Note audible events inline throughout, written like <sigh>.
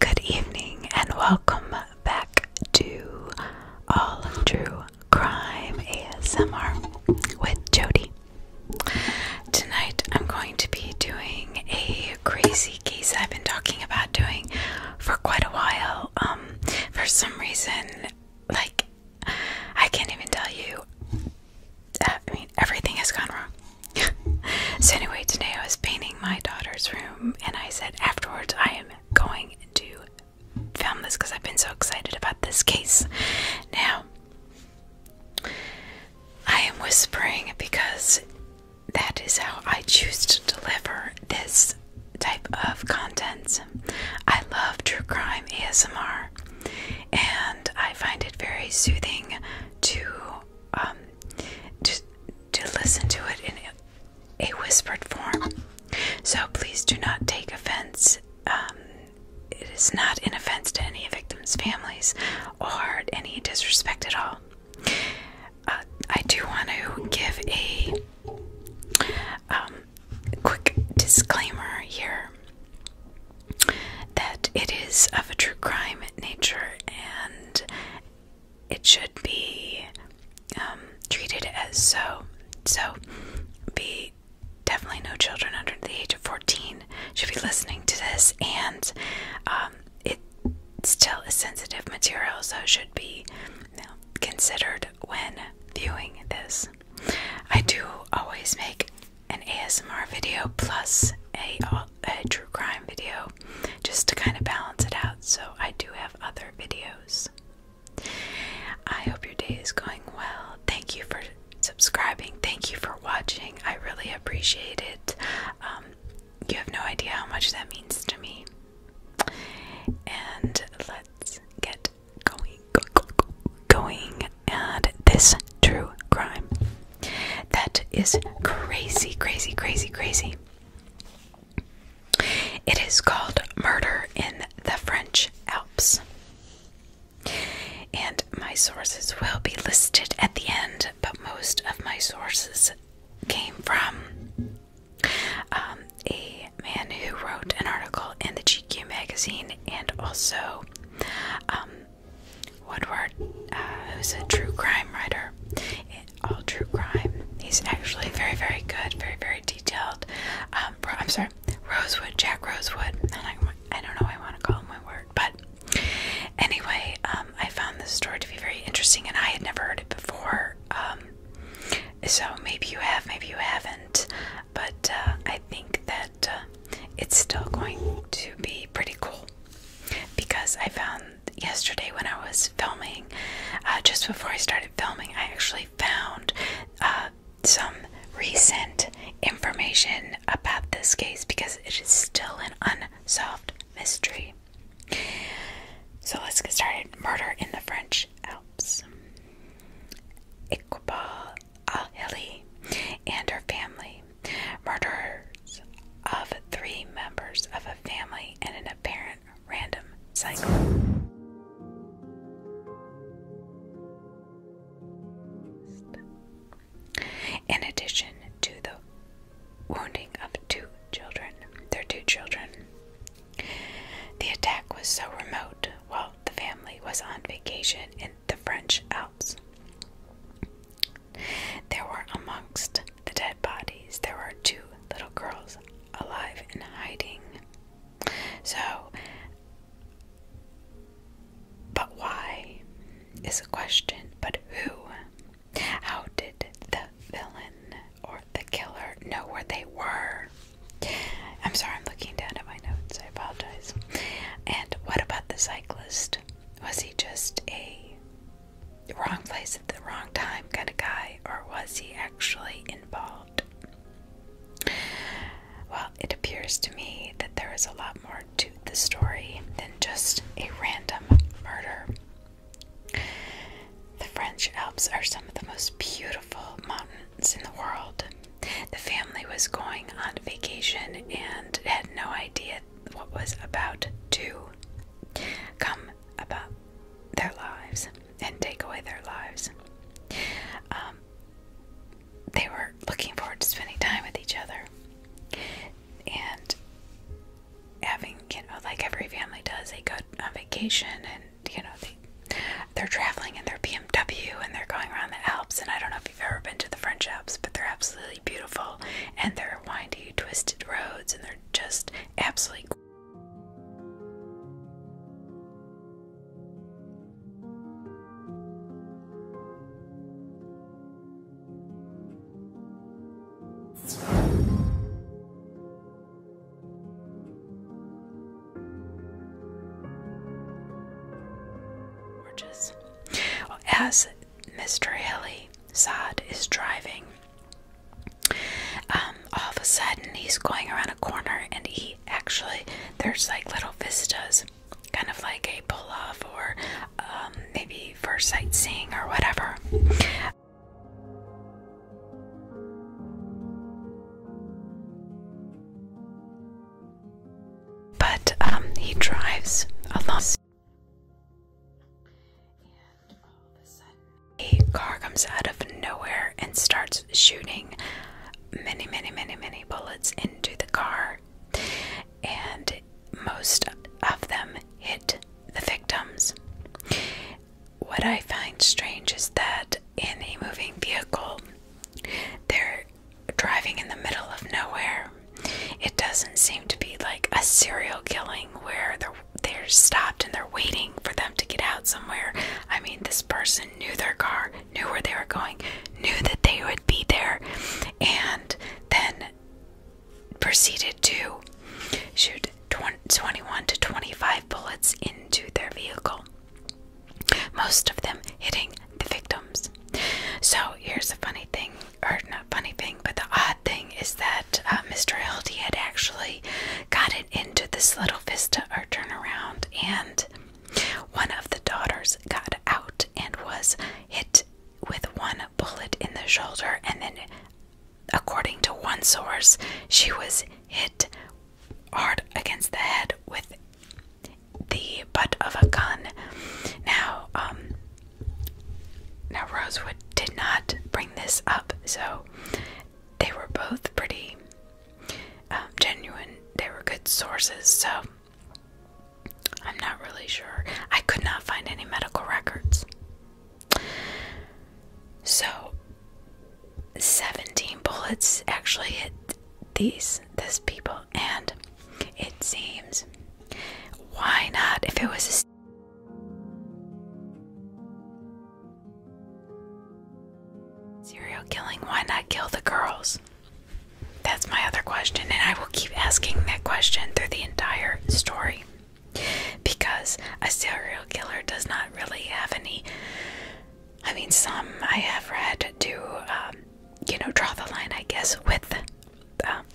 Good evening and welcome back to All True Crime ASMR with Jody. Tonight I'm going to be doing a crazy case I've been talking about doing for quite a while. Um for some reason like I can't even tell you I mean, everything has gone wrong. <laughs> so, anyway, today I was painting my daughter's room, and I said afterwards, I am going to film this because I've been so excited about this case. Now, I am whispering because that is how I choose to deliver this type of content. I love true crime ASMR and I find it very soothing to um, to, listen to it in a whispered form. So please do not take offense. Um, it is not an offense to any victims' families or any disrespect at all. Uh, I do want to give a um, quick disclaimer here that it is of a true crime nature and it should be um, treated as so. So, be definitely no children under the age of 14 should be listening to this, and um, it still is sensitive material, so should be considered when viewing this. I do always make an ASMR video plus a, a true crime video just to kind of balance it out. So I do have other videos. I hope your day is going well. Thank you for subscribing. Thank you for watching. I really appreciate it. Um, you have no idea how much that means to me. And let's get going, go, going at this true crime. That is crazy, crazy, crazy, crazy. It is called Murder in the French Alps. And my sources will be listed at the end, but most of my sources came from um, a man who wrote an article in the GQ magazine and also um, Woodward, uh, who's a true crime writer, all true crime. He's actually very, very good, very, very detailed. Um, I'm sorry, Rosewood, Jack Rosewood. I, don't know, I want to call him my but anyway, um, I found this story to be very interesting, and I had never heard it before. Um, so maybe you have, maybe you haven't, but uh, I think that uh, it's still going to be pretty cool because I found yesterday when I was filming, uh, just before I started filming, I actually found uh, some recent information about this case because it is still an unsolved mystery. So let's get started. Murder in the French Alps. Iqbal Al and her family murders of three members of a family in an apparent random cycle. In addition to the wounding of two children, their two children, the attack was so remote while the family was on vacation in the French Alps there were amongst the dead bodies, there were two little girls alive and hiding. So, but why is a question, but who? How did the villain or the killer know where they were? I'm sorry, I'm looking down at my notes, I apologize. And what about the cyclist? Was he just a wrong place at the wrong time kind of guy, or was he actually involved? Well, it appears to me that there is a lot more to the story than just a random murder. The French Alps are some of the most beautiful mountains in the world. The family was going on vacation and had no idea what was about to come about their lives and take away their lives. Um, they were looking forward to spending time with each other and having, you know, like every family does, they go on vacation and, you know, they, they're traveling in their BMW and they're going around the Alps. And I don't know if you've ever been to the French Alps, but they're absolutely beautiful, and their windy, twisted roads, and they're just absolutely. Gorgeous. as Mr. Hilly Saad is driving. Um, all of a sudden, he's going around a corner, and he actually there's like little vistas, kind of like a pull off or um, maybe for sightseeing or whatever. But um, he drives along a car comes out of nowhere and starts shooting many, many, many, many bullets into the car. And most of them hit the victims. What I find strange is that in a moving vehicle, they're driving in the middle of nowhere. It doesn't seem to be like a serial killing where they're, stopped and they're waiting for them to get out somewhere. I mean, this person knew their car, knew where they were going, knew that they would be there, and then proceeded to shoot 21 to 25 bullets into their vehicle, most of them hitting the victims. So, here's the funny thing or not funny thing, but the odd thing is that uh, Mr. Elty had actually gotten into this little vista or turnaround, and one of the daughters got out and was hit with one bullet in the shoulder, and then, according to one source, she was hit hard against the head with the butt of a gun. Now, um, now, Rosewood did not bring this up, so they were both pretty um, genuine. They were good sources, so I'm not really sure. I could not find any medical records. So, 17 bullets actually hit these these people and it seems why not if it was Serial killing, why not kill the girls? That's my other question, and I will keep asking that question through the entire story. Because a serial killer does not really have any. I mean, some I have read do, um, you know, draw the line, I guess, with um,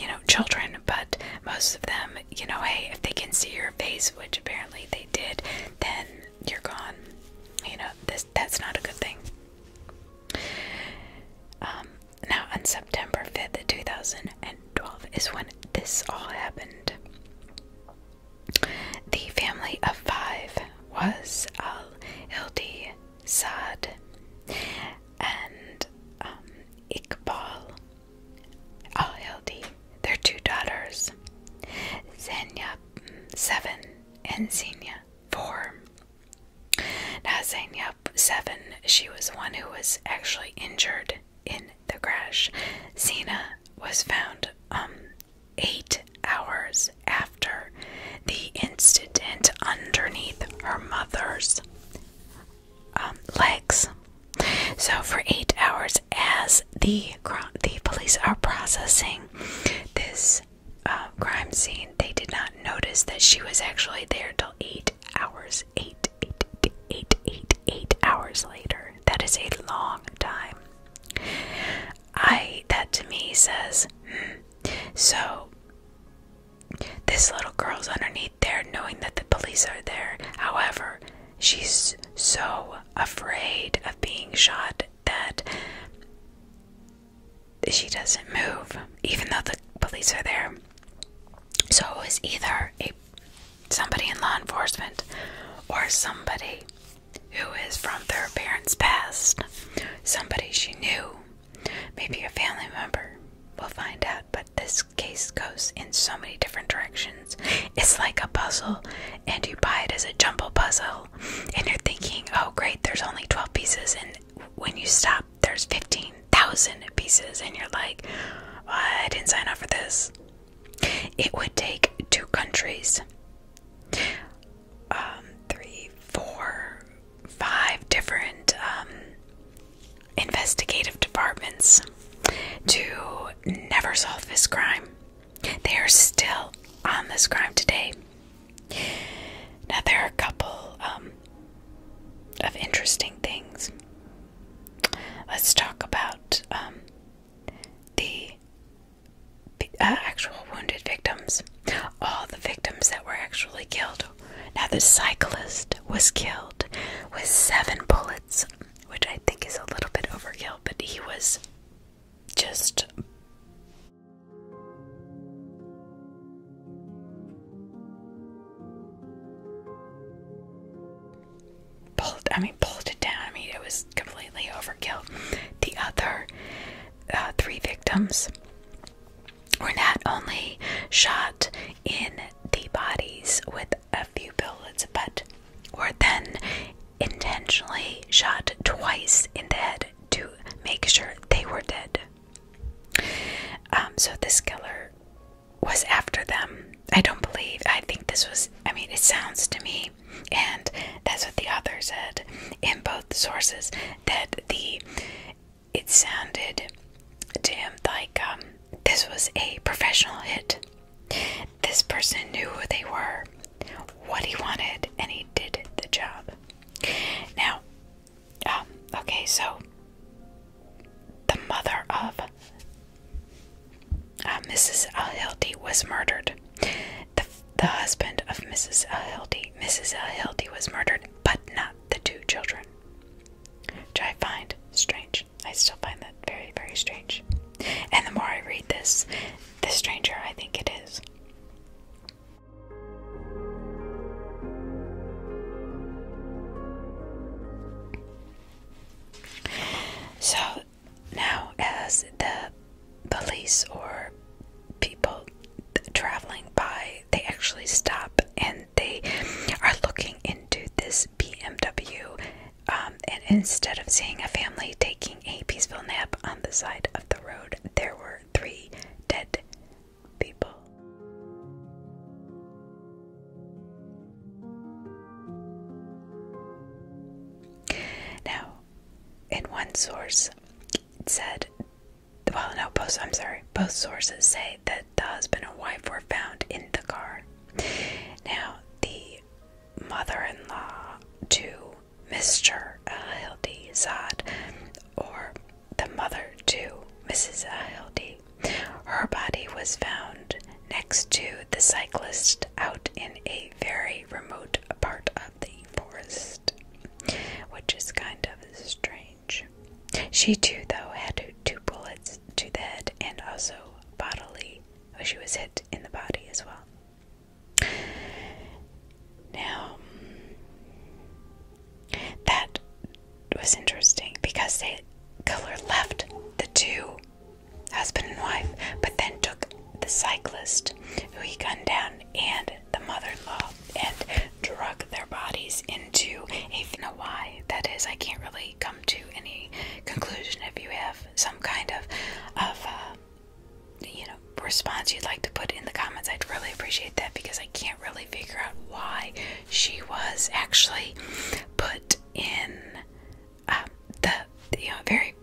you know, children, but most of them, you know, hey, if they can see your face, which apparently they did, then you're gone. You know, this that's not a good thing. Um, now on September 5th, 2012 is when this all happened. The family of five was Al Hildi Saad and um, Iqbal Al their two daughters, Zenya, seven, and Zenya, four. Now, Zenya, seven, she was one who was actually injured in the crash. Zena was found um, eight hours after the incident underneath her mother's um, legs. So for eight hours, as the the police are processing this uh, crime scene, they did not notice that she was actually there till eight hours. Eight, eight, eight, eight, eight, eight hours later. That is a long time. I that to me says hmm, so. This little girl's underneath there knowing that the police are there. However, she's so afraid of being shot that she doesn't move, even though the police are there. So it was either a somebody in law enforcement or somebody who is from their parents' past, somebody she knew, maybe a family member. We'll find out, but this case goes in so many different directions. It's like a puzzle, and you buy it as a jumble puzzle, and you're thinking, oh, great, there's only 12 pieces, and when you stop, there's 15,000 pieces, and you're like, I didn't sign up for this. It would take two countries, um, three, four, five different um, investigative departments to never solve this crime. They are still on this crime today. Now, there are a couple um, of interesting things. Let's talk about um, the, uh, actual wounded victims. All the victims that were actually killed now, the cyclist was killed with seven bullets, which I think is a little bit overkill, but he was just. Pulled, I mean, pulled it down. I mean, it was completely overkill. The other uh, three victims were not only shot in the bodies with a few bullets, but were then intentionally shot twice in the head to make sure they were dead. Um, so this killer was after them. I don't believe. I think this was, I mean, it sounds to me, and that's what the author said in both sources, that the it sounded to him like um, this was a professional hit. This person knew who they were, what he wanted, and he did the job. Now, um, okay, so the mother of uh, Mrs. Alhilty was murdered. The, the husband of Mrs. Alhilty, Mrs. Alhilty was murdered, but not the two children. Do I find strange. I still find that very, very strange. And the more I read this, the stranger I think it is. So now, as the police or people traveling by, they actually stop and they are looking into this BMW, um, and instead of seeing a family taking a peaceful nap on the side of the road, there were three dead people. Now, in one source, it said, well, no, post, I'm sorry. Both sources say that the husband and wife were found in the car. Now, the mother in law to Mr. Uh, Hildy Zod, or the mother to Mrs. Uh, Hildy, her body was found next to the cyclist out in a very remote part of the forest, which is kind of strange. She too, though, had two bullets to the head and also bodily. Oh, she was hit in the body as well. Now, that was interesting because the killer left the two, husband and wife, but then took the cyclist who he gunned down and the mother in law and drug their bodies into a. You that is, I can't really come to any conclusion if you have some kind of of uh, you know response you'd like to put in the comments I'd really appreciate that because I can't really figure out why she was actually put in uh, the very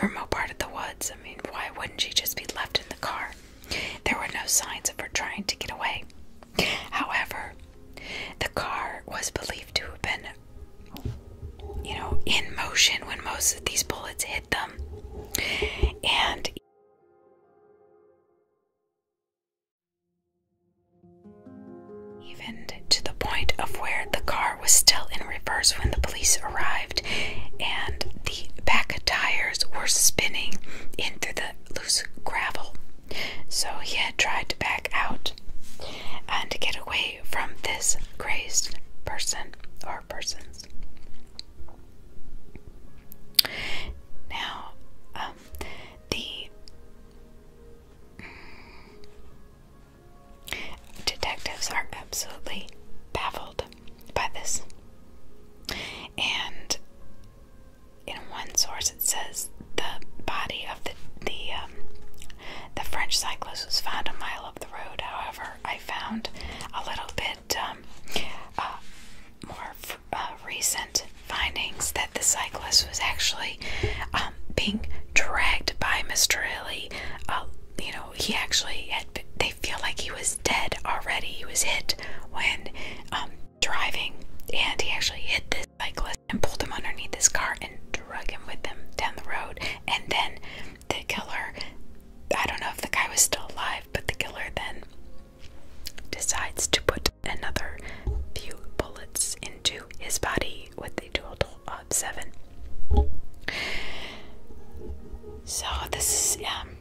remote part of the woods I mean why wouldn't she just be left in the car there were no signs of her trying to get away However, the car was believed to have been, you know, in motion when most of these bullets hit them. And even to the point of where the car was still in reverse when the police arrived, and the back tires were spinning into the loose gravel. So he had tried to back out and to get away from this crazed person or persons. Now, um, the detectives are absolutely baffled by this. And in one source it says the body of the um, the French cyclist was found a mile up the road. However, I found a little bit um, uh, more uh, recent findings that the cyclist was actually um, being dragged by Mr. Illy. Uh, you know, he actually They feel like he was dead already. He was hit when driving, and he actually hit this and pulled him underneath his car and drug him with them down the road. And then the killer, I don't know if the guy was still alive, but the killer then decides to put another few bullets into his body with a total of seven. So this is um,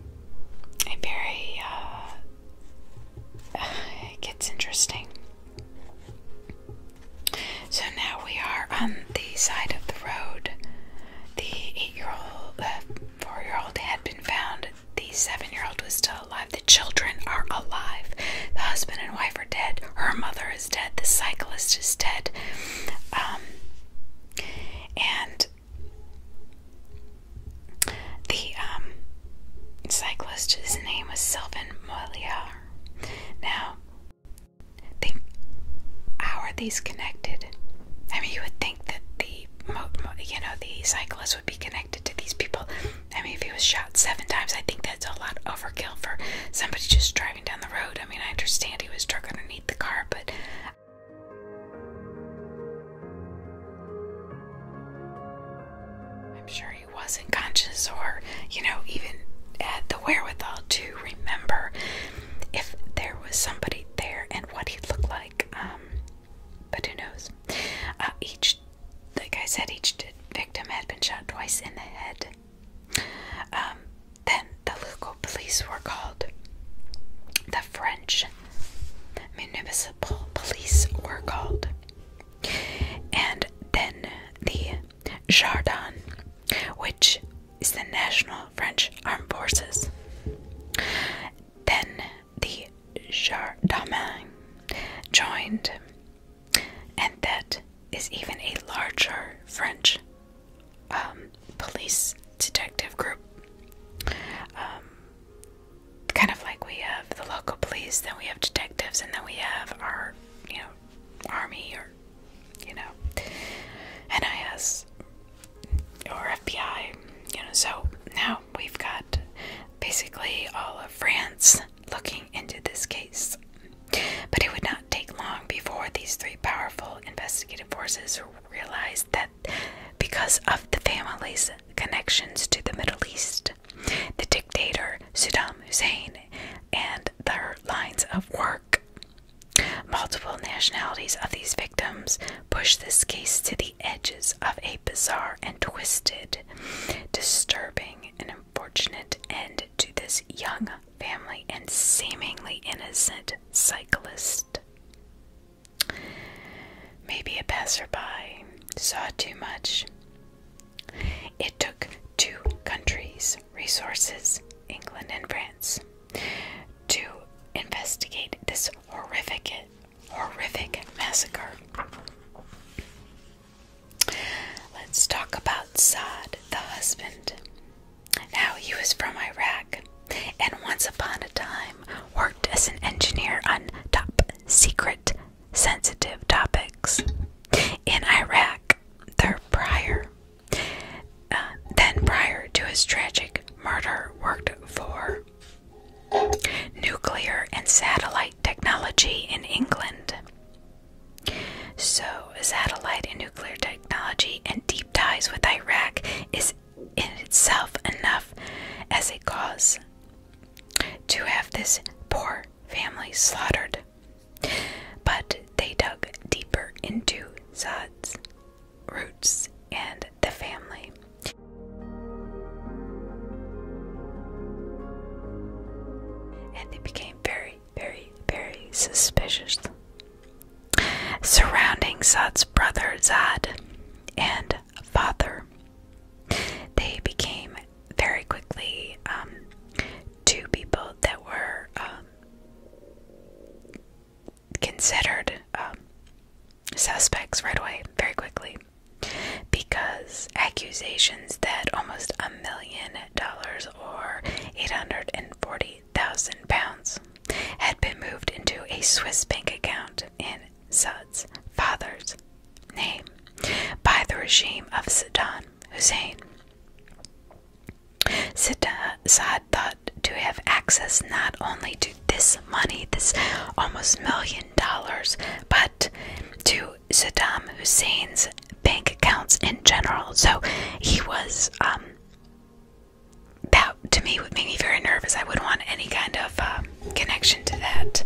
a very uh, <sighs> it gets interesting. So now we are on the side of the road. The eight-year-old, uh, four-year-old had been found. The seven-year-old was still alive. The children are alive. The husband and wife are dead. Her mother is dead. The cyclist is dead. Um, and the um, cyclist. His name was Sylvan Molière. Now, think how are these connected? I mean, you would think that the you know the cyclist would be connected to these people. I mean, if he was shot seven times, I think that's a lot overkill for somebody just driving down the road. I mean, I understand he was struck underneath the car, but. I'm sure wasn't conscious or, you know, even had the wherewithal to remember if there was somebody there and what he looked like. Um, but who knows? Uh, each, like I said, each victim had been shot twice in the head. Um, then the local police were called. The French municipal police were called and then the Jardin, which is the National French Armed Forces. Then the Gendarmerie joined, and that is even a larger French um, police detective group. Um, kind of like we have the local police, then we have detectives, and then we have our, you know, army or, you know, NIS or FBI, you know. So now we've got basically all of France looking into this case. But it would not take long before these three powerful investigative forces realized that because of the family's connections to the Middle East, the dictator Saddam Hussein and their lines of work. Multiple nationalities of these victims push this case to the edges of a bizarre and twisted, disturbing, and unfortunate end to this young family and seemingly innocent cyclist. Maybe a passerby saw too much it took two countries' resources, England and France, to investigate this horrific, horrific massacre. Let's talk about Sad, the husband. Now he was from Iraq and once upon a time worked as an engineer on top secret sensitive topics. In Iraq, their prior, uh, then prior to his tragic murder, worked for nuclear and satellite technology in England. So, satellite and nuclear technology and deep ties with Iraq is in itself enough as a cause to have this poor Family slaughtered. But they dug deeper into Zad's roots and the family. And they became very, very, very suspicious. Surrounding Zad's brother Zad and father, they became very quickly um, two people that were um, considered um, suspects right away, very quickly, because accusations that almost a million dollars or 840,000 pounds had been moved into a Swiss bank account in Sud's father's name by the regime of Saddam Hussein. Saad thought to have access not only to this money, this almost million dollars, but to Saddam Hussein's bank accounts in general. So he was, um, that to me would make me very nervous. I wouldn't want any kind of uh, connection to that.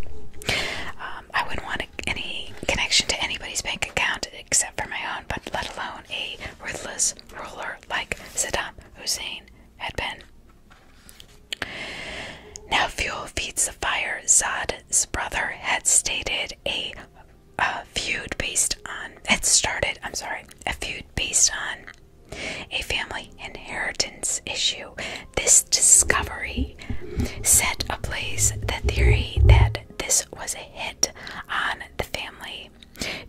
Um, I wouldn't want any connection to anybody's bank account except for my own, but let alone a worthless ruler like Saddam Hussein had been. Now, fuel feeds the fire. Zad's brother had stated a feud based on, it started, I'm sorry, a feud based on a family inheritance issue. This discovery Theory set ablaze the theory that this was a hit on the family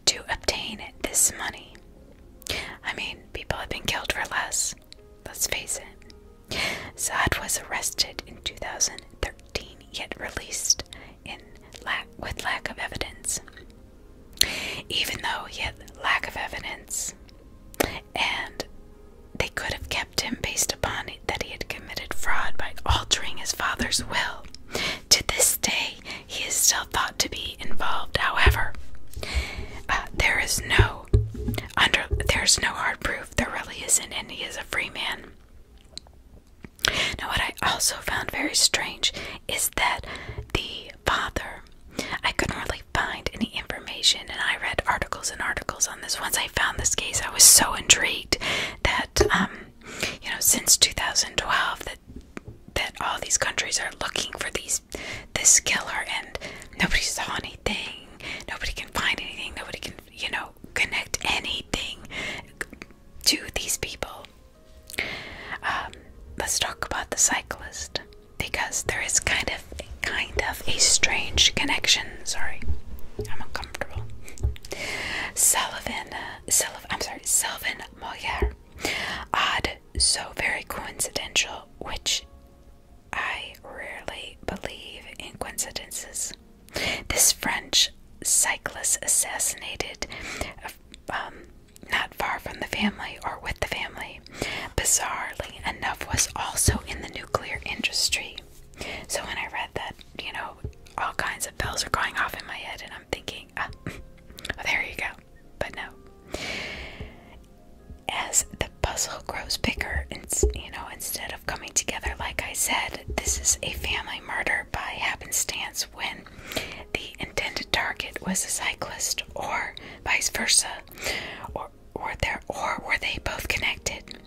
to obtain this money. I mean, people have been killed for less, let's face it. Sad was arrested in 2013, yet released in lack, with lack of evidence. Even though yet lack of evidence, and they could have kept him based upon that he had committed fraud by altering his father's will. To this day, he is still thought to be involved. However, uh, there is no under there is no hard proof. There really isn't, and he is a free man. Now, what I also found very strange is that the father, I couldn't really find any information and I read articles and articles on this. Once I found this case, I was so intrigued that um, you know, since 2012 that that all these countries are looking for these this killer and nobody saw anything. Nobody can find anything. Nobody can, you know, connect anything to these people. Um, let's talk about the cyclist because there is kind of kind of a strange connection. Sorry, I'm uncomfortable. Sullivan, Sullivan, I'm sorry, Sylvan Molière. Odd, so very coincidental, which I rarely believe in coincidences. This French cyclist assassinated um, not far from the family or with the family, bizarrely enough, was also in the nuclear industry. So when I read that, you know, all kinds of bells are going off in my head, and I'm thinking, ah, <laughs> there you go. But no. As the puzzle grows bigger, and you know, instead of coming together, like I said, this is a family murder by happenstance when the intended target was a cyclist, or vice versa, or or were there or were they both connected?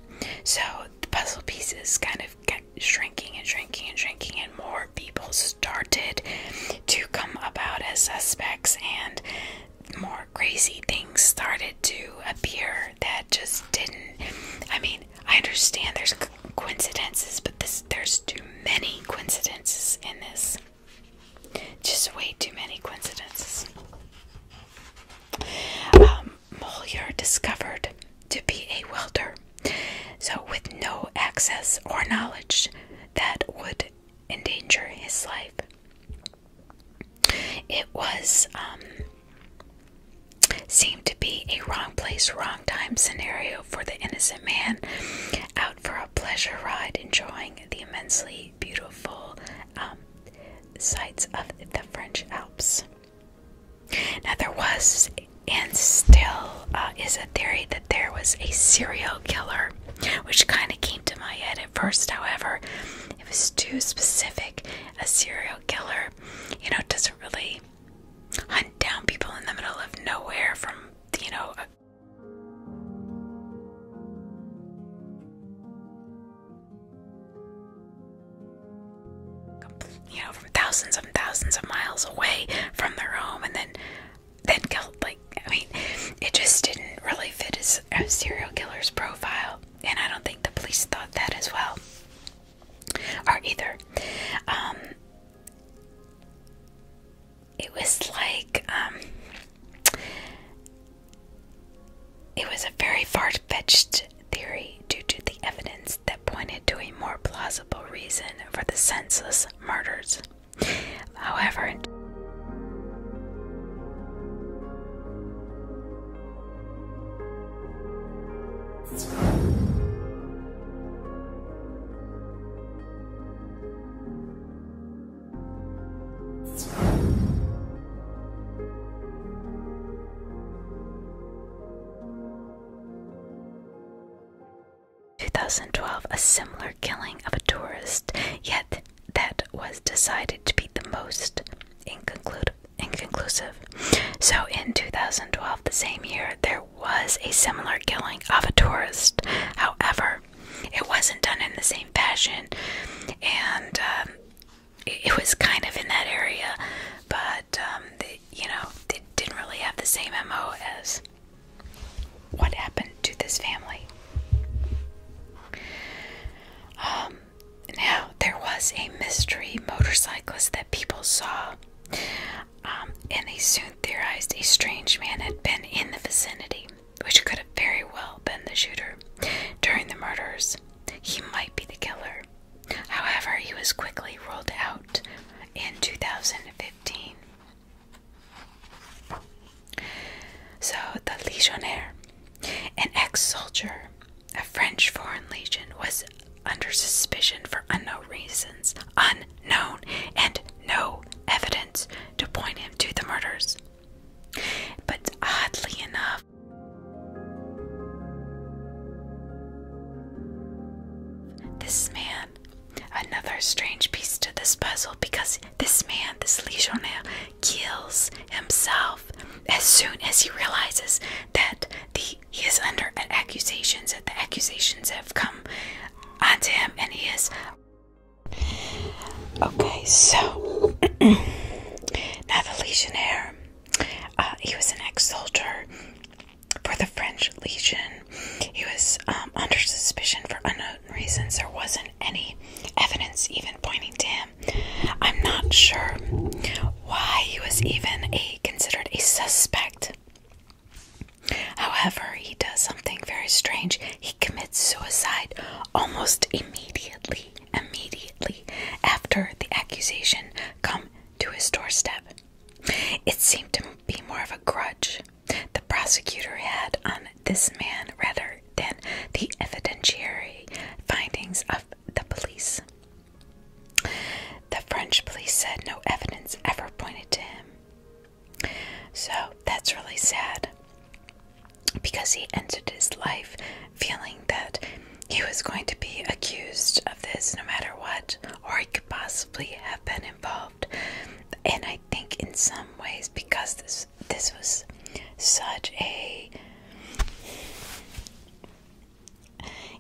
So the puzzle pieces kind of kept shrinking and shrinking and shrinking, and more people started to come about as suspects, and more crazy things started to appear that just didn't. I mean, I understand there's coincidences, but there's too many coincidences in this. Just way too many coincidences. Um, discovered to be a welder, so with no access or knowledge that would endanger his life. It was um, seemed to be a wrong place, wrong time scenario for the innocent man out for a pleasure ride, enjoying the immensely beautiful um, sights of the French Alps. Now, there was and still uh, is a theory that there was a serial killer, which kind of came to my head at first. However, it was too specific. A serial killer, you know, doesn't really hunt down people in the middle of nowhere from, you know, you know, from thousands and thousands of miles away from their home, and then then killed. Like, I mean, it just didn't really fit his a serial killer's profile, and I don't think the police thought that as well, or either. Um, it was like um, it was a very far fetched theory due to the evidence that pointed to a more plausible reason for the senseless murders. However, 2012, a similar killing of a tourist, yet that was decided to be the most inconclusive. So in 2012, the same year, there was a similar killing of a tourist. However, it wasn't done in the same fashion, and um, it, was kind of in that area, but um, you know, it didn't really have the same MO as what happened to this family. Um, now, there was a mystery motorcyclist that people saw, um, and they soon theorized a strange man had been in the vicinity, which could have very well been the shooter during the murders. He might be the killer. However, he was quickly ruled out in 2015. So, the Legionnaire, an ex soldier, a French Foreign Legion, was under suspicion for unknown reasons, unknown, and no evidence to point him to the murders. But oddly enough, this man, another strange piece to this puzzle because this man, this legionnaire, kills himself as soon as he realizes that he is under accusations, that the accusations have come onto him and he is Okay, so <clears throat> now the legionnaire uh, he was an ex-soldier for the French Legion. He was um, under suspicion for unknown reasons. There wasn't any evidence even pointing to him. I'm not sure why he was even considered a suspect. However, he does something very strange. He commits suicide almost immediately immediately after the accusation come to his doorstep. It seemed to be more of a grudge the prosecutor had on this man rather than the evidentiary findings of the police. The French police said no evidence ever pointed to him. So that's really sad because he ended his life feeling that he was going to be accused of this no matter what, or he could possibly have been involved. And I think in some ways, because this this was such a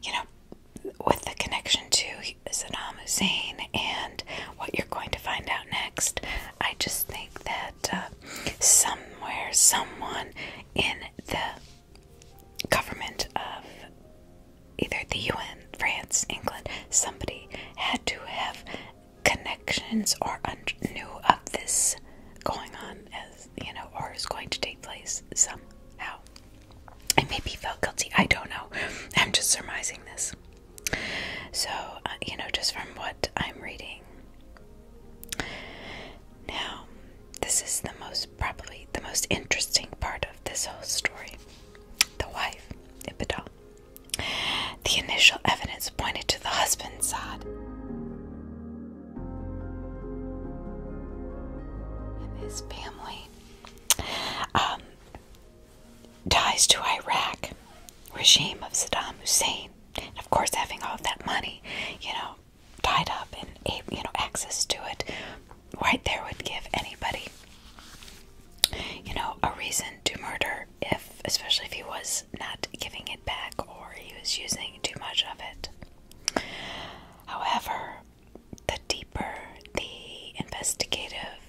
you know, with the connection to Saddam Hussein and what you're going to find out next, I just think that uh, somewhere, someone in the government of either the UN, France, England, somebody had to have connections or knew of this going on as you know or is going to take place somehow and maybe he felt guilty i don't know <laughs> i'm just surmising this so uh, you know just from what i'm reading now, this is the most probably the most interesting part of this whole story. The wife, Ibidal. The initial evidence pointed to the husband's Saad, and his family. Um, ties to Iraq regime of Saddam Hussein, of course having all of that money, you know, tied up and you know access to it right there would give anybody you know a reason to murder if especially if he was not giving it back or he was using too much of it however the deeper the investigative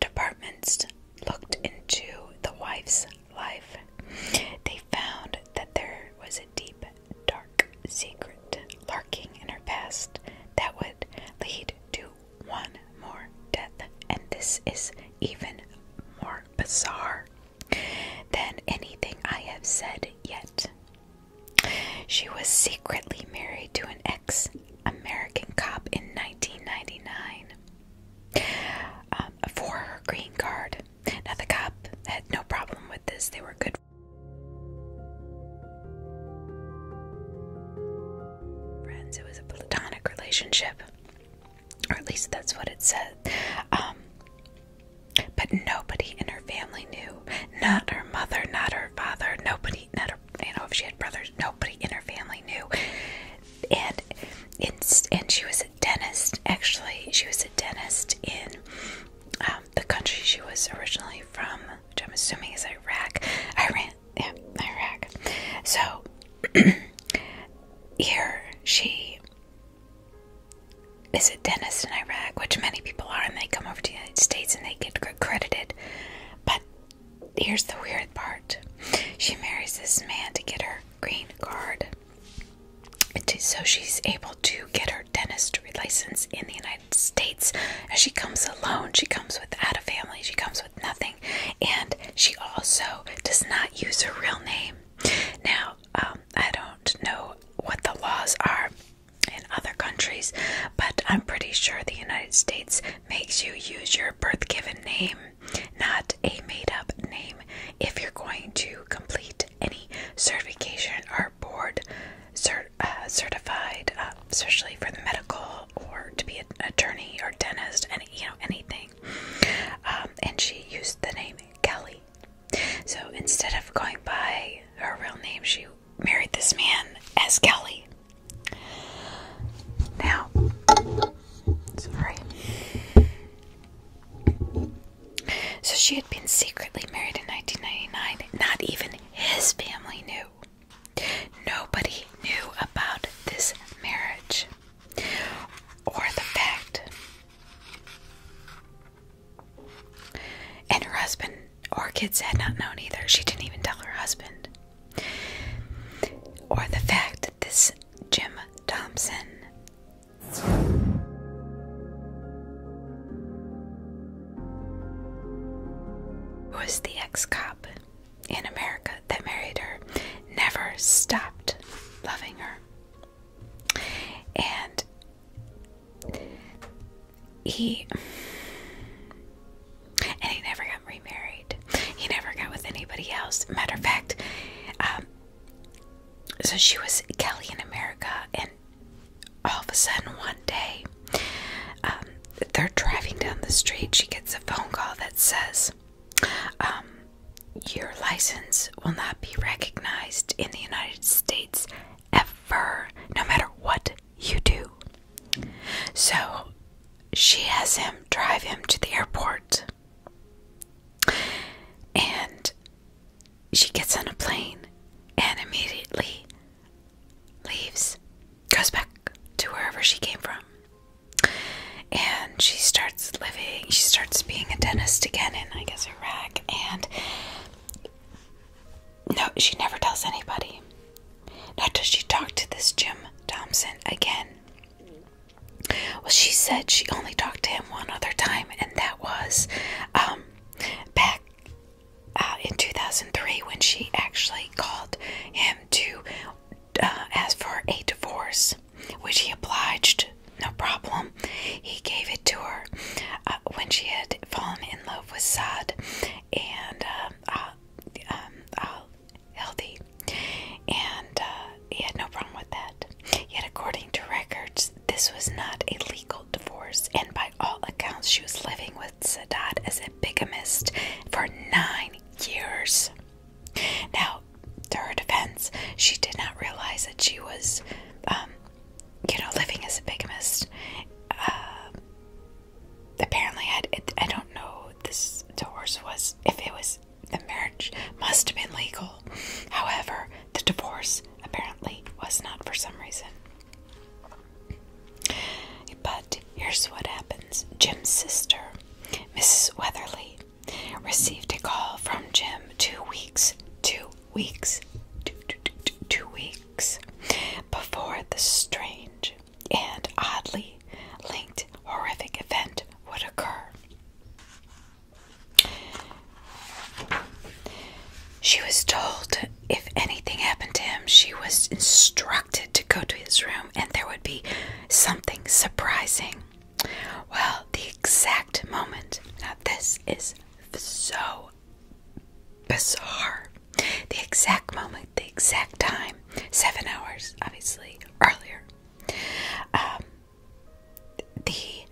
departments looked into the wife's life they found that there was a deep dark secret lurking in her past that would lead to one more death, and this is even more bizarre than anything I have said yet. She was secretly married to an ex American cop in 1999 um, for her green card. Now, the cop had no problem with this, they were good friends. It was a platonic relationship, or at least that's what it said. Um, but nobody in her family knew. Not her mother, not her father, nobody, not her, you know, if she had brothers, nobody in her family knew. And, and, and she was dentist. Actually, she was a dentist in um, the country she was originally from, which I'm assuming is Iraq. Iran, yeah, Iraq. So <clears throat> here she is a dentist in Iraq, which many people are, and they come over to the United States and they get credited. But here's the weird part: she marries this man to get her green card so she's able to get her dentistry license in the United States. she comes alone, she comes without a family, she comes with nothing, and she also does not use her real name. Now, um, I don't know what the laws are in other countries, but I'm pretty sure the United States makes you use your birth given name, not a made up name, if you're going to complete any certification or board uh, certified, uh, especially for the medical or to be an attorney or dentist, any you know anything. Um, and she used the name Kelly. So instead of going by her real name, she married this man as Kelly. Now, sorry. So she had been secretly married in 1999. Not even his family knew. Nobody knew about this marriage or the fact. And her husband or kids had not known either. She didn't even tell her husband. Or the fact that this Jim Thompson was the ex cop in America that married her never stopped loving her, and he and he never got remarried. He never got with anybody else. Matter of fact, um, so she was Kelly in America, and all of a sudden, one day, um, they're driving down the street. She gets a phone call that says, um, Your license will not be recognized in the United States ever, no matter what you do. So she has him drive him to the airport. And she gets on a plane and immediately leaves, goes back to wherever she came from. And she starts living, she starts being a dentist again in, I guess, Iraq. And no, she never tells anybody. Not does she talk to this Jim Thompson again. Well, she said she only talked to him one other time, and that was um, back uh, in 2003 when she actually called him to uh, ask for a divorce, which he obliged, no problem. He gave it to her uh, when she had fallen in love with Sad and um, um and he had no problem with that. Yet, according to records, this was not a legal divorce, and by all accounts, she was living with Sadat as a bigamist for nine years. Now, to her defense, she did not realize that she was, um, you know, living as a bigamist. Uh, apparently, I, I don't know this divorce was, if it was, the marriage must have been legal. However, the divorce apparently was not for some reason. But here's what happens Jim's sister, Mrs. Weatherly, received a call from Jim two weeks, two weeks, two weeks before the strange and oddly linked horrific event would occur. She was told if anything happened to him, she was instructed to go to his room and there would be something surprising. Well, the exact moment, now this is so bizarre. The exact moment, the exact time, seven hours, obviously, earlier, um, the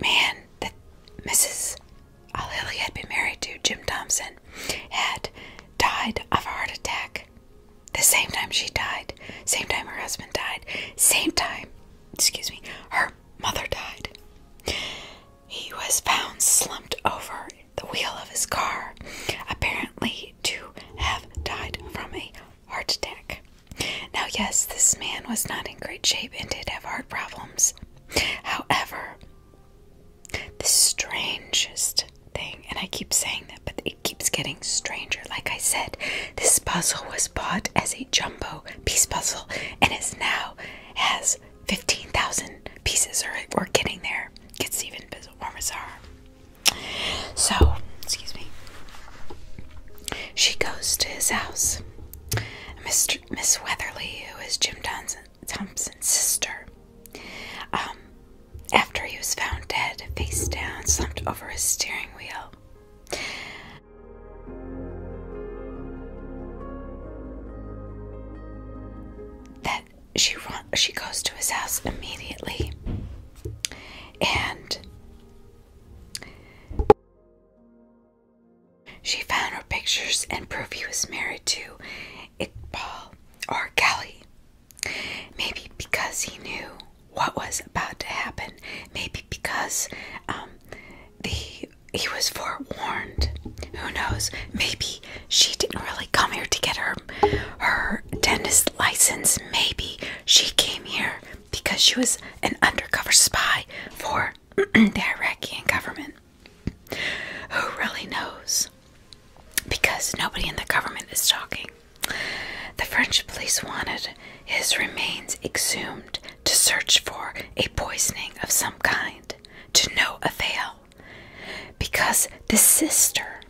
man that Mrs. O'Leary had been married to, Jim Thompson, had died of a heart attack. The same time she died, same time her husband died, same time, excuse me, her mother died. He was found slumped over the wheel of his car, apparently to have died from a heart attack. Now, yes, this man was not in great shape and did have heart problems. However, the strangest thing, and I keep saying that, but it keeps getting stranger. Like I said, this puzzle was bought as a jumbo piece puzzle and is now has 15,000 pieces, or we're getting there. It's even more bizarre. So, excuse me. She goes to his house. Mr. Miss Weatherly, who is Jim Thompson's sister. Um, after he was found dead, face down, slumped over his steering wheel. That she run, she goes to his house immediately, and she found her pictures and proof he was married to Iqbal or Kelly. Maybe because he knew what was about to happen. Maybe because um, the he was forewarned. Who knows? Maybe she didn't really come here to get her her dentist license. Maybe she came here because she was an undercover spy for <clears throat> the Iraqi government. Who really knows? Because nobody in the government is talking. The French police wanted his remains exhumed to search for a poisoning of some kind, to no avail, because the sister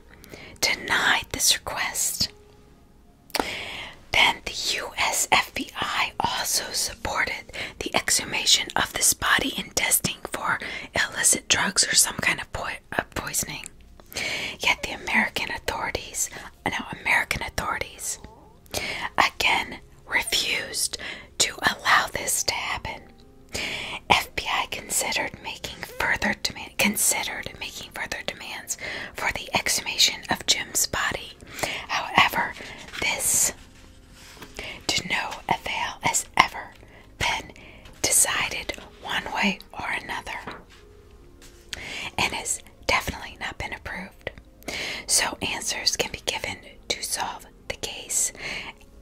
denied this request. Then the US FBI also supported the exhumation of this body and testing for illicit drugs or some kind of uh, poisoning. Yet the American authorities, now American authorities, again refused to allow this to happen. FBI considered making further demand, considered making further demands for the exhumation of Jim's body. However, this to no avail as ever been decided one way or another, and has definitely not been approved. So answers can be given to solve the case.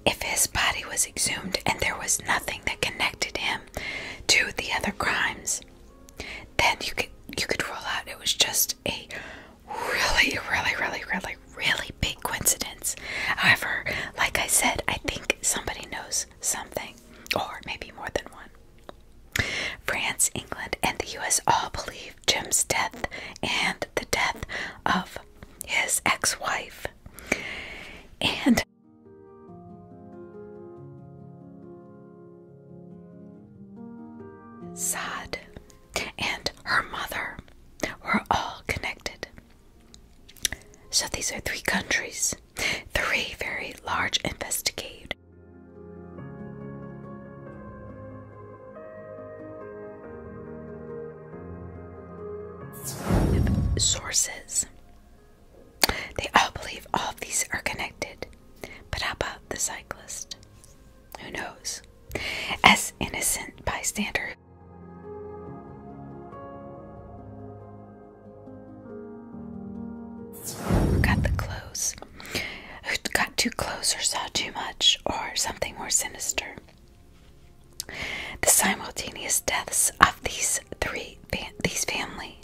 If his body was exhumed and there was nothing that connected him to the other crimes, then you could you could rule out it was just a really, really, really, really, really big coincidence. However, like I said, I think somebody knows something, or maybe more than one. France, England, and the US all believe Jim's death and the death of his ex wife. And sad and her mother were all connected. So these are three countries, three very large investigators. Sources. They all believe all of these are connected, but how about the cyclist? Who knows? As innocent bystander. Who got the close? Who got too close or saw too much or something more sinister? The simultaneous deaths of these three these family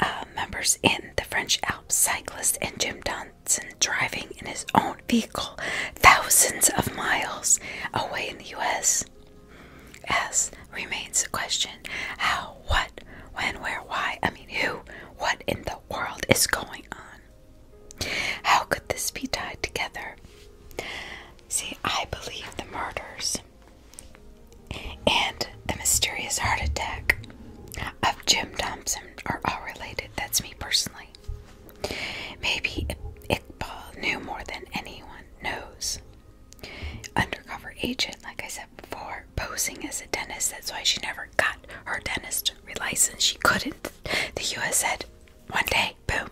uh, members in the French Alps, cyclist and Jim Don Johnson driving in his own vehicle thousands of miles away in the U.S. S remains a question how, what, when, where, why, I mean, who, what in the world is going on? How could this be tied together? See, I believe the murders and the mysterious heart attack of Jim Thompson are all related. That's me personally. Maybe Iqbal knew more than anyone knows. Undercover agent, like I said before, posing as a dentist. That's why she never got her dentist license. She couldn't. The U.S. said, one day, boom.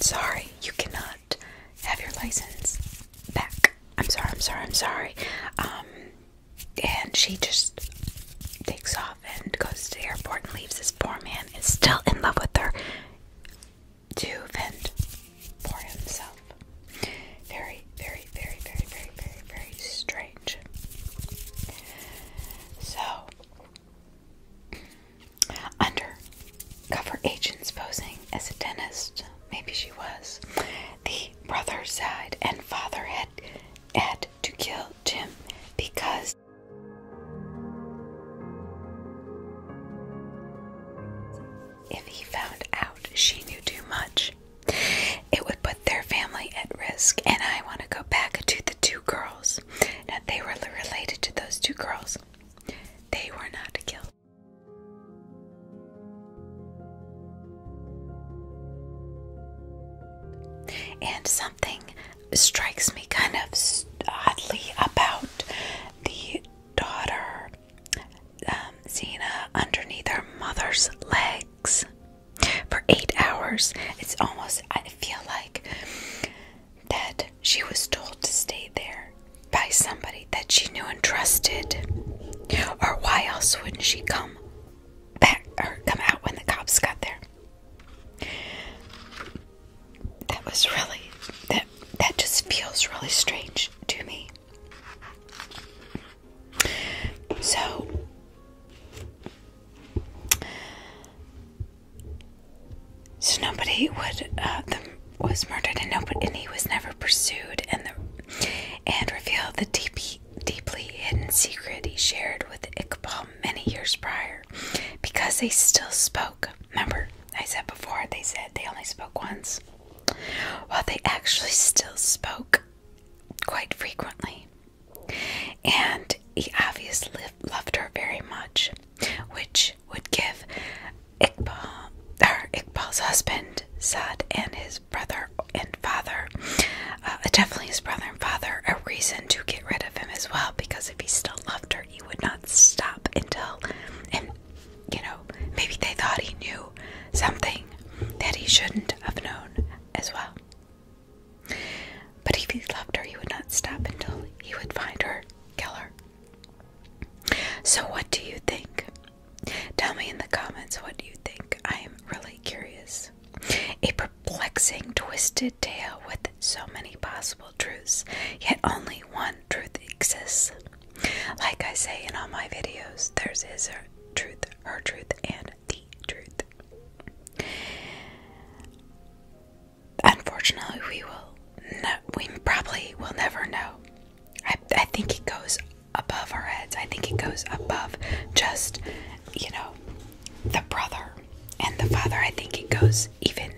Sorry, you cannot have your license back. I'm sorry, I'm sorry, I'm sorry. Um, and she just takes off and goes to the airport and leaves this poor man is still in love with her to vent for himself. Very, very, very, very, very, very, very strange. So undercover agents posing as a dentist, maybe she was. The brother side and father had had to kill Jim because if he found out she knew too much, it would put their family at risk. And I want to go back to the two girls. Now, they were related to those two girls, they were not killed. And something strikes me kind of oddly about the daughter Zena um, underneath her mother's legs for eight hours. It's almost, I feel like that she was told to stay there by somebody that she knew and trusted. Or why else wouldn't she come back or come out when the cops got there. That was really that that just feels really strange to me. So so nobody would uh, the, was murdered and nobody and he was never pursued and the and revealed the DP deeply hidden secret he shared with Iqbal many years prior because they still spoke. Remember, I said before they said they only spoke once. Well, they actually still spoke quite frequently. And he obviously loved her very much, which would give Iqbal, her Iqbal's husband, Sad, and his brother and father, uh, definitely his brother father a reason to get rid of him as well because if he still loved her, he would not stop until, and you know, maybe they thought he knew something that he shouldn't have known as well. But if he loved her, he would not stop until he would find her, kill her. So, what do you think? Tell me in the comments what you think. I am really curious. A perplexing, twisted tale with so many possible truths, yet only one truth exists. Like I say in all my videos, there's his her truth, her truth, and the truth. Unfortunately, we will no, we probably will never know. I, I think it goes above our heads. I think it goes above just you know, the brother and the father. I think it goes even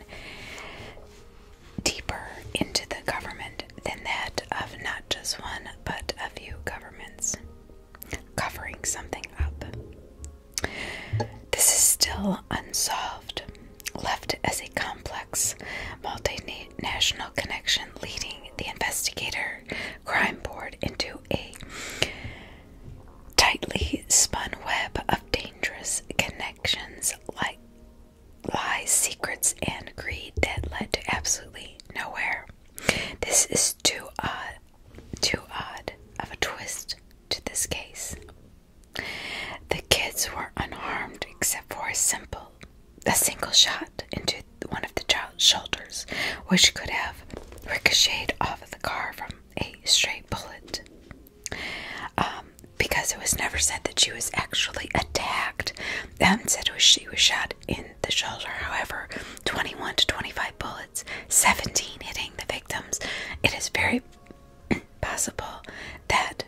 deeper into the government than that of not just one, but a few governments covering something up. This is still unsolved, left as a complex multinational connection leading the investigator crime board into a tightly spun web of dangerous connections like lies, secrets, and greed that led to absolutely nowhere. This is too odd, too odd of a twist to this case. The kids were unharmed except for a simple, a single shot into one of the child's shoulders, which could have have ricocheted off of the car from a stray bullet. Um, because it was never said that she was actually attacked. Them said was she was shot in the shoulder. However, 21 to 25 bullets, 17 hitting the victims. It is very <clears throat> possible that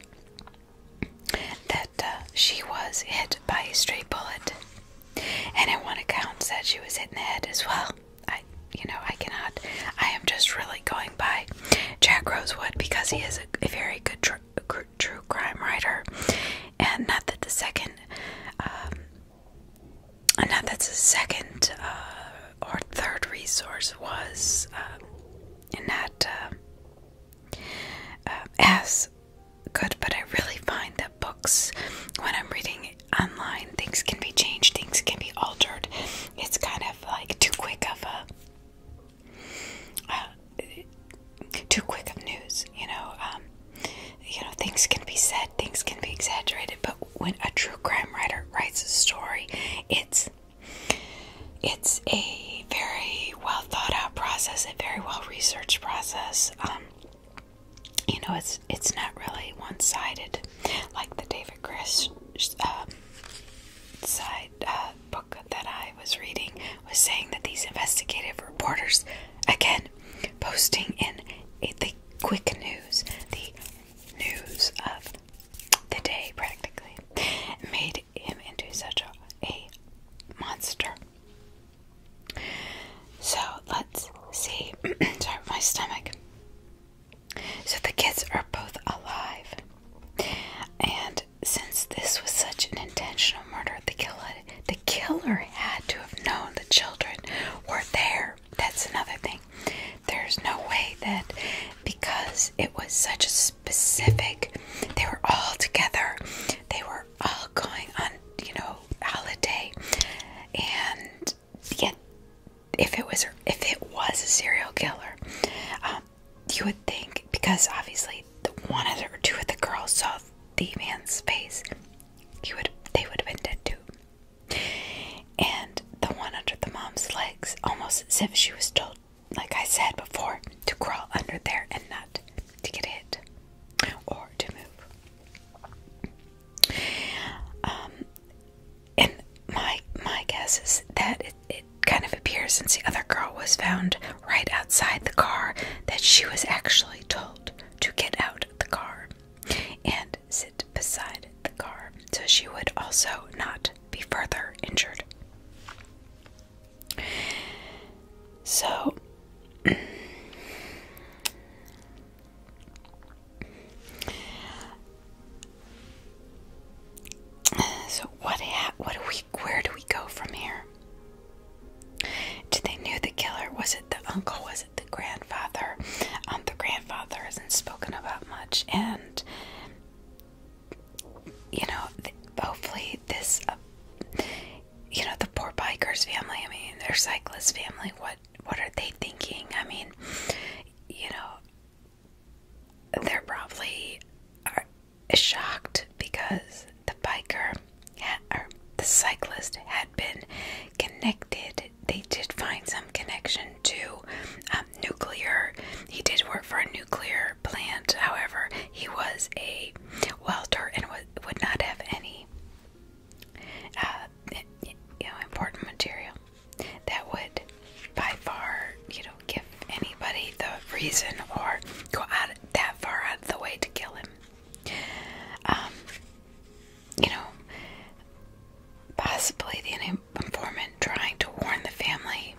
that uh, she was hit by a stray bullet. And in one account said she was hit in the head as well. I you know I cannot. I am just really going by Jack Rosewood because he is a, very good true crime writer, and not that the second, um, not that the second uh, or third resource was um, not um, as good, but I really find that books when I'm reading online things can be changed, things can be altered. It's kind of like too quick of a uh, too quick of news, you know. Um, you know, things can be said, things can be exaggerated, but when a true crime writer writes a story, it's it's a very well thought out process, a very well researched process. Um, you know, it's it's not really one-sided like the David Chris um, side uh, book that I was reading was saying that these investigative reporters, again, posting in the quick news, the news of the day practically, made him into such a monster. So let's see. <clears throat> Sorry, my stomach. So the kids are both alive. And since this was such an intentional murder, the killer the killer had to have known the children were there. That's another thing. There's no way that because it was such a specific they were all together. They were all going on, you know, holiday and yeah, if it was if it was a serial killer, um, you would think because obviously the one of the, or two of the girls saw the man's face, you would they would have been dead too. And the one under the mom's legs, almost as if she was told, like I said before, to crawl under there and not to get hit or to move. Um, and my my guess is that it, it kind of appears since the other girl was found right outside the car that she was actually told to get out of the car and sit beside the car so she would also not be further injured. So so what? what do we? Where do we go from here? Did they knew the killer? Was it the uncle? Was it the grandfather? Um, the grandfather isn't spoken about much, and you know, hopefully this. Uh, you know the poor bikers family. I mean, their cyclist family. What what are they thinking? I mean, you know, they're probably shocked because the biker or the cyclist had been connected. They did find some connection to um, nuclear. He did work for a nuclear plant. However, he was a welder and would not have any uh, you know, important material that would by far, you know, give anybody the reason or go out that far out of the way to kill him. Um, you know, possibly the informant trying to warn the family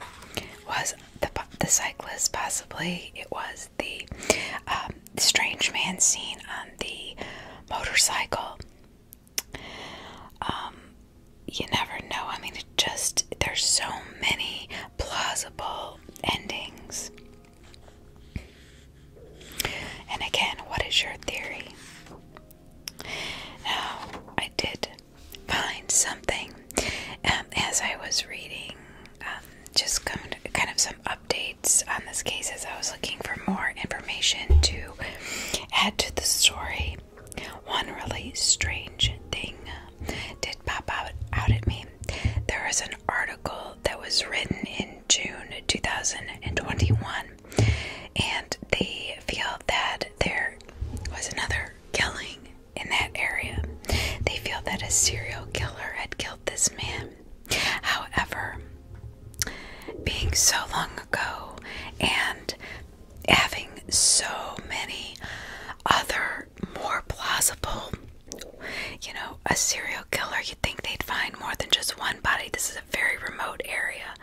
was the the cyclist. Possibly it was the um, strange man seen on the motorcycle. Um, you never know. I mean, it just, there's so many plausible endings. And again, what is your theory? Now, I did find something um, as I was reading, um, just kind of some updates on this case as I was looking for more information to to add to the story, one really strange thing did pop out, out at me. There was an article that was written in June 2021, and they feel that there was another killing in that area. They feel that a serial killer had killed this man. However, being so long ago and having so many other more plausible, you know, a serial killer, you'd think they'd find more than just one body. This is a very remote area.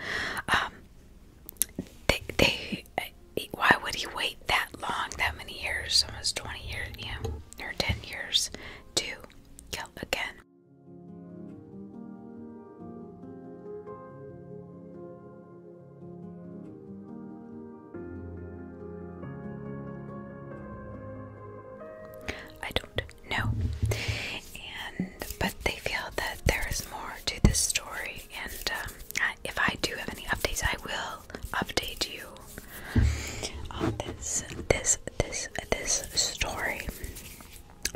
Um, they, they, why would he wait that long, that many years, almost 20 years, yeah, or 10 years to kill again? I don't know. And but they feel that there is more to this story, and um, if I do have any updates, I will update you on this, this, this, this story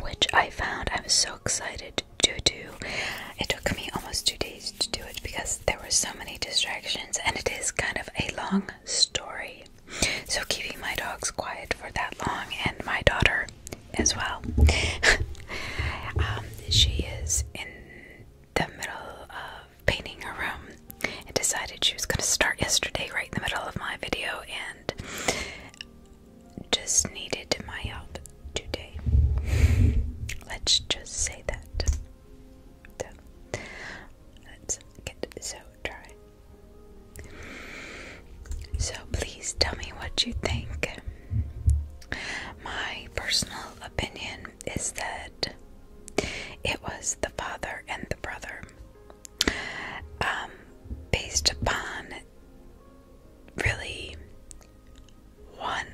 which I found I was so excited to do. It took me almost two days to do it because there were so many distractions, and it is kind of a long story. So, keeping my dogs quiet for that long, and my daughter as well, <laughs> um, she is in the middle of painting her room and decided she was going to start yesterday, right in the middle of my video, and just needed my help today. Let's just say that. So, let's get so dry. So, please tell me what you think. My personal opinion is that it was the father and the brother. Um, based upon really one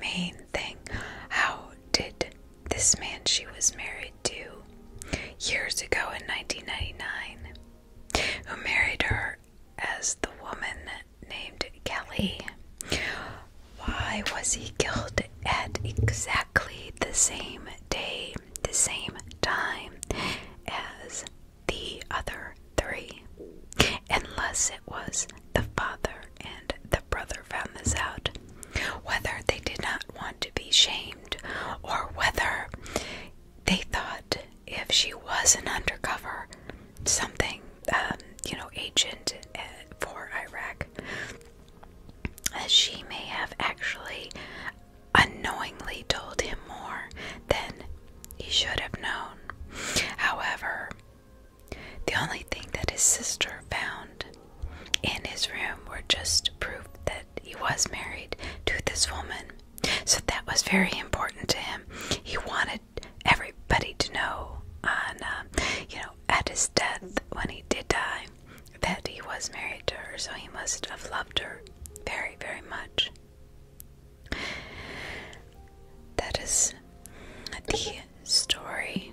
main thing. How did this man she was married to years ago in 1999, who married her as the woman named Kelly, why was he killed at exactly the same day, the same time as the other three. Unless it was the father and the brother found this out. Whether they did not want to be shamed, or whether they thought if she was an undercover something, um, you know, agent uh, for Iraq, she may have actually unknowingly told him more than he should have known. However, the only thing that his sister found in his room were just proof that he was married to this woman. So that was very important to him. He wanted everybody to know on, um, you know, at his death when he did die that he was married to her. So he must have loved her very, very much. That is the story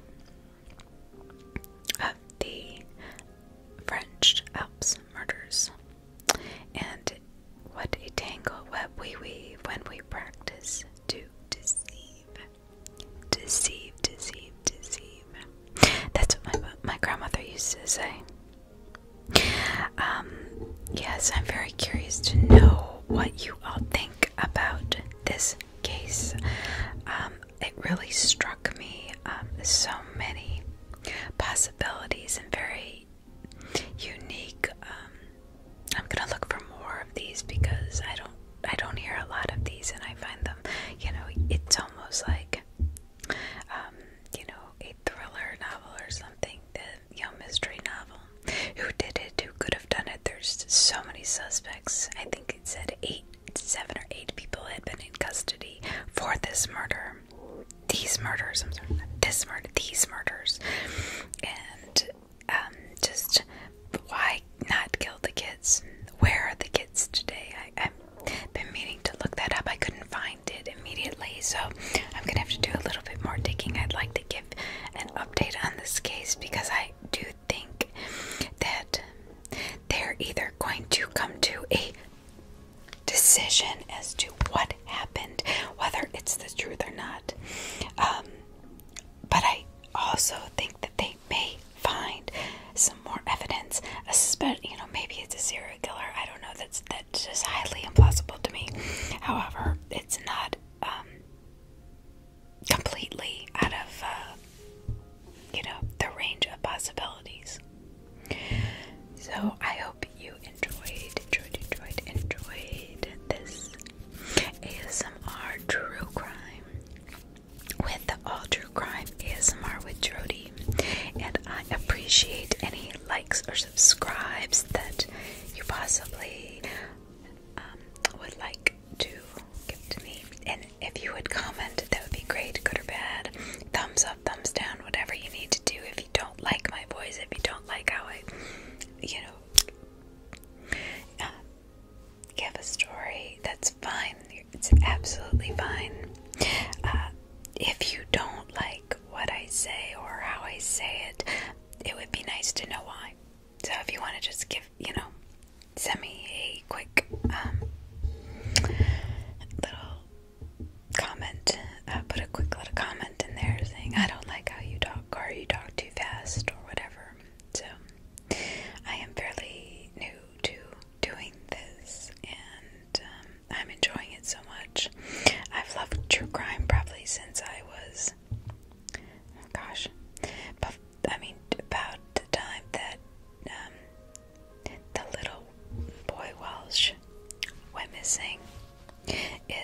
of the French Alps murders. And what a tangle web we weave when we practice to deceive. Deceive, deceive, deceive. That's what my, my grandmother used to say. Um, yes, I'm very curious to know what you all think about this case. Um, it really struck me um, so many possibilities and very unique. I'm gonna look for more of these because I don't I don't hear a lot of these, and I find them, you know, it's almost like, you know, a thriller novel or something you mystery novel. Who did it? Who could have done it? There's so many suspects. I think it said eight, seven or eight people had been in custody for this murder. These murders, I'm sorry, this murder, these murders. And um, just why not kill the kids? Where are the kids today? I've been meaning to look that up. I couldn't find it immediately, so I'm gonna have to do a little bit more digging. I'd like to give an update on this case because I do think that they're either going to come to a decision as to what happened, whether it's the truth or not. Um, but I also think that they may find some more evidence, especially you know maybe it's a serial killer. I don't know. That's that it's just highly implausible to me. However, it's not um, completely out of uh, you know the range of possibilities. So I hope you enjoyed, enjoyed, enjoyed, enjoyed this ASMR true crime with the all true crime ASMR with Jody, and I appreciate any likes or subscribes that you possibly um, would like to give to me. And if you would comment, that would be great, good or bad. Thumbs up, thumbs down, whatever you need to do. If you don't like my voice, if you don't like how I, you know, uh, give a story, that's fine. It's absolutely fine. Uh, if you don't like what I say or how I say it, it would be nice to know why. So if you want to just give, you know, send me a quick um, little comment, uh, put a quick little comment in there saying, I don't like how you talk or you talk too fast or whatever. So I am fairly new to doing this and um, I'm enjoying it so much. I've loved true crime probably since I was, oh gosh, but I mean about the time that um, the little boy Welsh went missing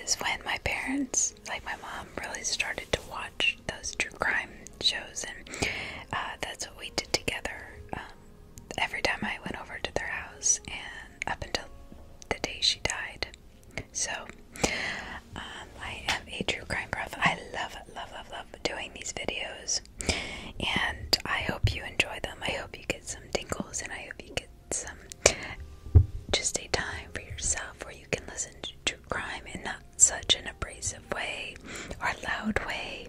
is when my parents, like my mom, really started to watch those true crime shows, and uh, that's what we did together. Um, every time I went over to their house, and up until the day she died. So, um, I am a true crime buff. I love, love, love, love doing these videos, and I hope you enjoy them. I hope you get some tingles, and I hope you get some just a time for yourself where you can listen to true crime in not such an abrasive way or loud way,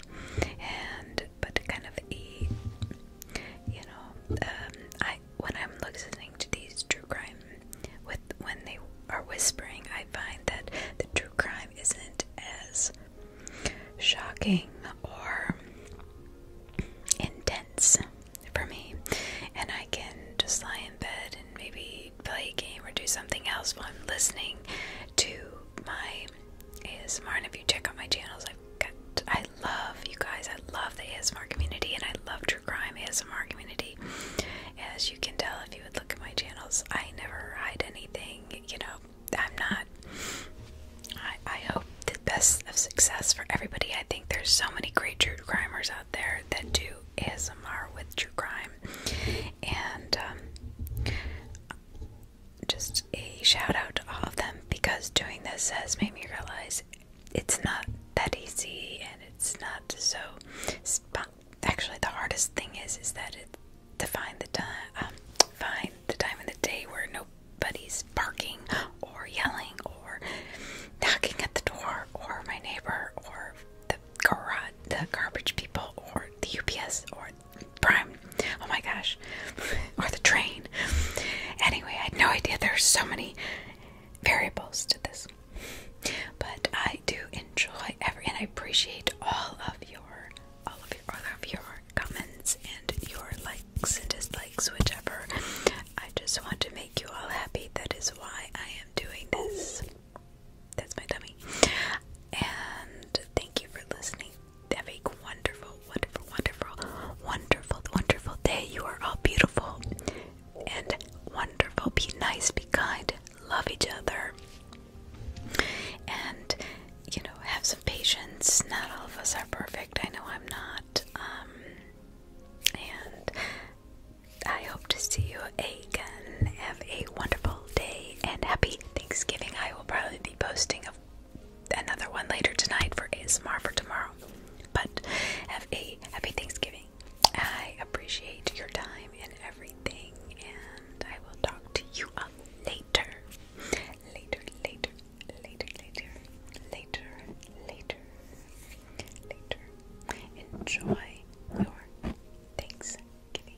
and but kind of a you know, um, when I'm listening to these true crime with when they are whispering, I find that the true crime isn't as shocking or intense for me, and I can just lie in bed and maybe play a game or do something else while I'm listening to my ASMR. And if you check out my channels, i I love you guys. I love the ASMR community and I love true crime ASMR community. As you can tell, if you would look at my channels, I never hide anything. You know, I'm not. I, I hope the best of success for everybody. I think there's so many great true crimers out there that do ASMR with true crime. And um, just a shout out to all of them because doing this has made me realize it's not that easy and it's not so actually the hardest thing is is that it to find the time um, find the time of the day where nobody's barking or yelling or knocking at the door or my neighbor or the garage the garbage people or the UPS or prime oh my gosh <laughs> or the train. Anyway, I had no idea there are so many variables to this. But I do enjoy every and I appreciate all of your all of your all of your comments and your likes and dislikes, whichever. I just want to make you all happy. That is why I am doing this. That's my dummy. And thank you for listening. Have a wonderful, wonderful, wonderful, wonderful, wonderful day. You are all beautiful and wonderful. Be nice, be kind, love each other, and you know, have some patience. Not all of us are perfect. I know I'm not. Um, and I hope to see you again. Have a wonderful day and happy Thanksgiving. I will probably be posting another one later tonight for ASMR for tomorrow. But have a happy Thanksgiving. I appreciate your time and everything, and I will talk to you up later. Later, later, later, later, later, later, later. Enjoy your Thanksgiving.